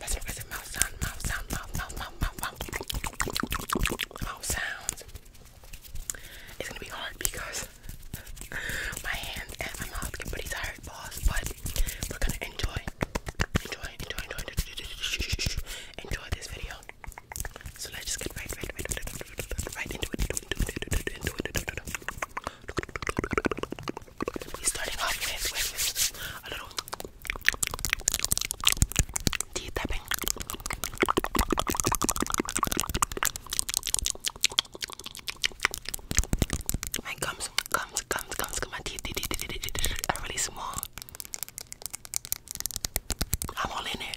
Was it, mouth sound, mouth sound, mouth, sounds? It's gonna be hard because my hands and my mouth get pretty tired, boss. But we're gonna enjoy, enjoy, enjoy, enjoy, enjoy, enjoy this video. So let's just get right, right, right, right, into it, We're starting off with a little Teeth tapping. My gums, gums, gums, gums, my teeth, teeth, teeth, teeth, teeth, teeth really small. I'm all in it.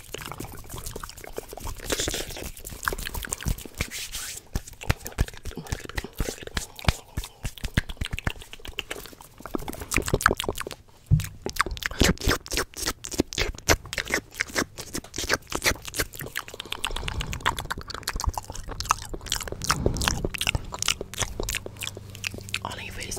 On your face.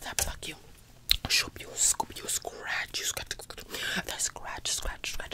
That block you, shoop you, scoop you, scratch you, scratch, scratch, scratch, scratch,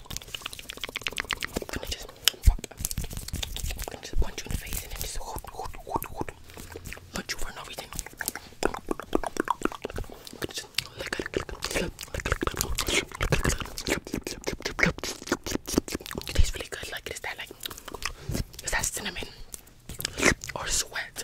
When it just, when it just punch you in the face and then just punch you for no reason. Just lick it, it tastes really good. Like it is that like is that cinnamon or sweat?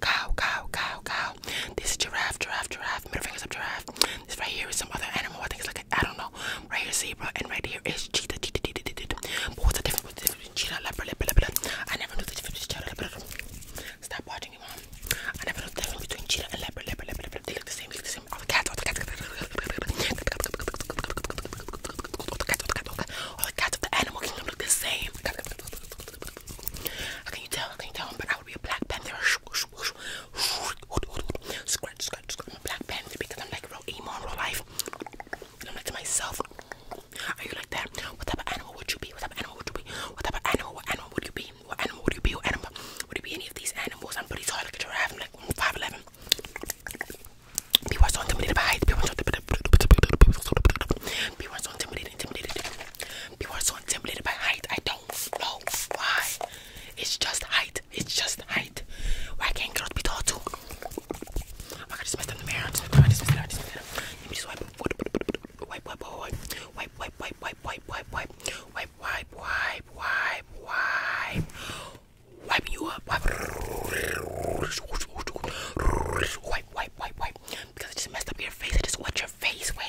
cow, cow, cow, cow, cow. This is giraffe, giraffe, giraffe. Middle fingers up, giraffe. This right here is some other animal. I think it's like a, I don't know. Right here, zebra, and right here is cheetah. cheetah, cheetah, cheetah. But what's the difference between cheetah, leopard, leopard, leopard? I never knew the difference between cheetah, leopard. Stop watching me, mom. I never knew the difference between cheetah and leopard, leopard, leopard, leopard. They look the same. They look the same. All the cats, all the cats, all the cats, all the cats, all the cats of the animal kingdom look the same. How can you tell? How can you tell? But I would be a Black Panther. Scratch, scratch, scratch. Black Panther because I'm like real emo in real life. I'm like to myself, are you like that? What type of animal would you be? What type of animal would you be? What type of animal? animal would you be? What animal would you be? What animal? Would you be any of these animals? I'm pretty tall, like a giraffe. I'm like 5'11". Mm, People are so intimidated by height. People are so intimidated. People are so intimidated, intimidated. People are so intimidated by height. I don't know why. It's just height. It's just height. Why can't girls be tall too? Oh my god, I just the mirror. I just messed up. I just messed up. Let me just wipe. Wipe, wipe, wipe, wipe, wipe, wipe, wipe, wipe, wipe, wipe, wipe, wipe, wipe, wipe, wipe. Wiping you up. Wipe, wipe, wipe, wipe. Because I just messed up your face. I just wet your face. Wipe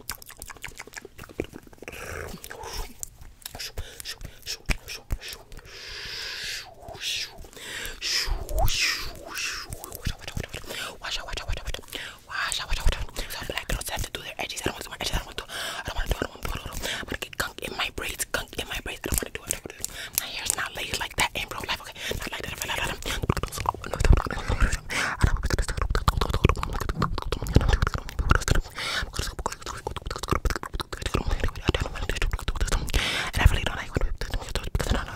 Watch out, watch out, watch out, watch out. Watch out, watch out, watch out. Some black girls have to do their edges. I don't want to do my edges. I don't want to do I don't want to do I don't want to do I don't want to do I'm gonna get gunk in my braids. Gunk in my braids. I don't want to do it. I don't want to do it. My hair's not laid like that in real life, okay? Not like that in real life. And I really don't like when I don't know how to present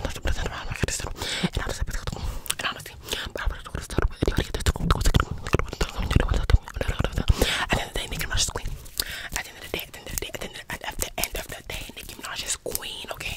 just queen. At the end of the day, at the end of the day, at the end of the, at the, end of the day, queen, okay?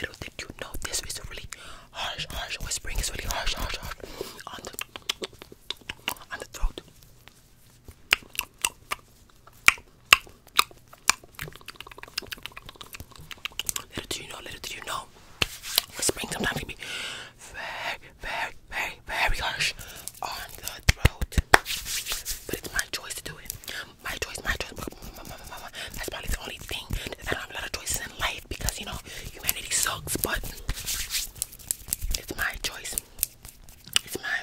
Little did you know this is really harsh, harsh whispering is really harsh, harsh, harsh on the on the throat. Little do you know, little do you know, whispering sometimes can be very, very, very, very harsh on the throat. But it's my choice to do it my choice, my choice. That's probably the only thing that I don't have a lot of choices in life because you know humanity sucks, but it's my choice. It's mine.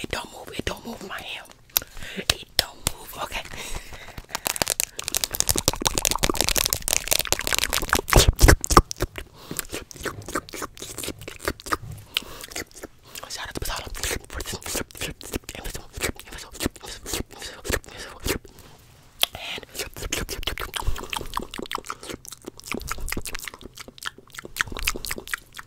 It don't move. It don't move my hand. It don't move. Okay.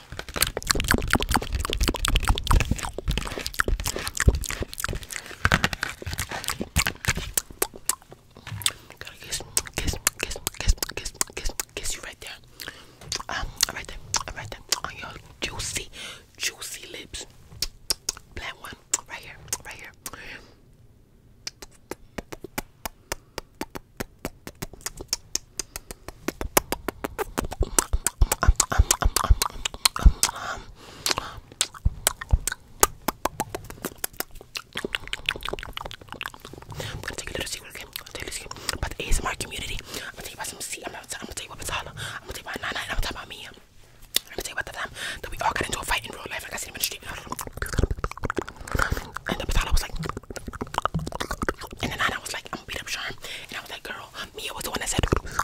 Gotta kiss, kiss, kiss, kiss, kiss, kiss, kiss you right there. Um, right there, right there on your juicy, juicy lips. Black one, right here, right here. I'm gonna take a little secret, okay? I'm gonna take a little secret about the ASMR community. I'm gonna tell you about some sea. I'm gonna tell you about Batala. I'm gonna tell you about Nana, and I'm gonna tell you about me. I'm gonna tell you about the time that we all got into a fight in real life, like I said in the street. And the Batala was like, and then I was like, I'm gonna beat up Charm. And I was like, girl, Mia was the one that said literally, Mia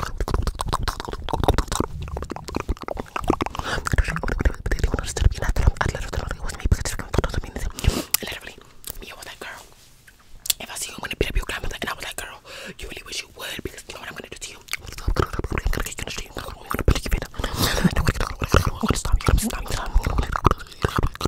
was like, girl, if I see you, I'm gonna beat up your grandma. And I was like, girl, you really wish you would because you know what I'm gonna do to you. I'm gonna stop you.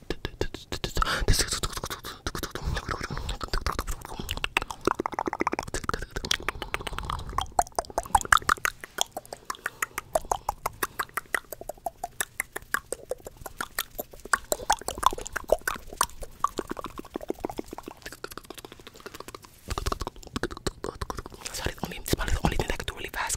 That's the only, it's probably the only thing that could do really fast.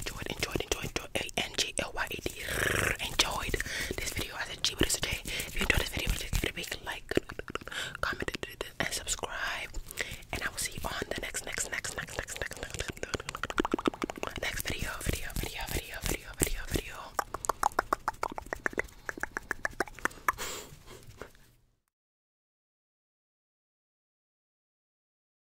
Enjoyed, enjoyed, enjoyed, enjoyed. A-N-G-L-Y-E-D. Enjoyed this video. I said G, but it's a J. If you enjoyed this video, please give it a big like, comment, and subscribe. And I will see you on the next, next, next, next, next, next, next, next, next video, video, video, video, video, video, video.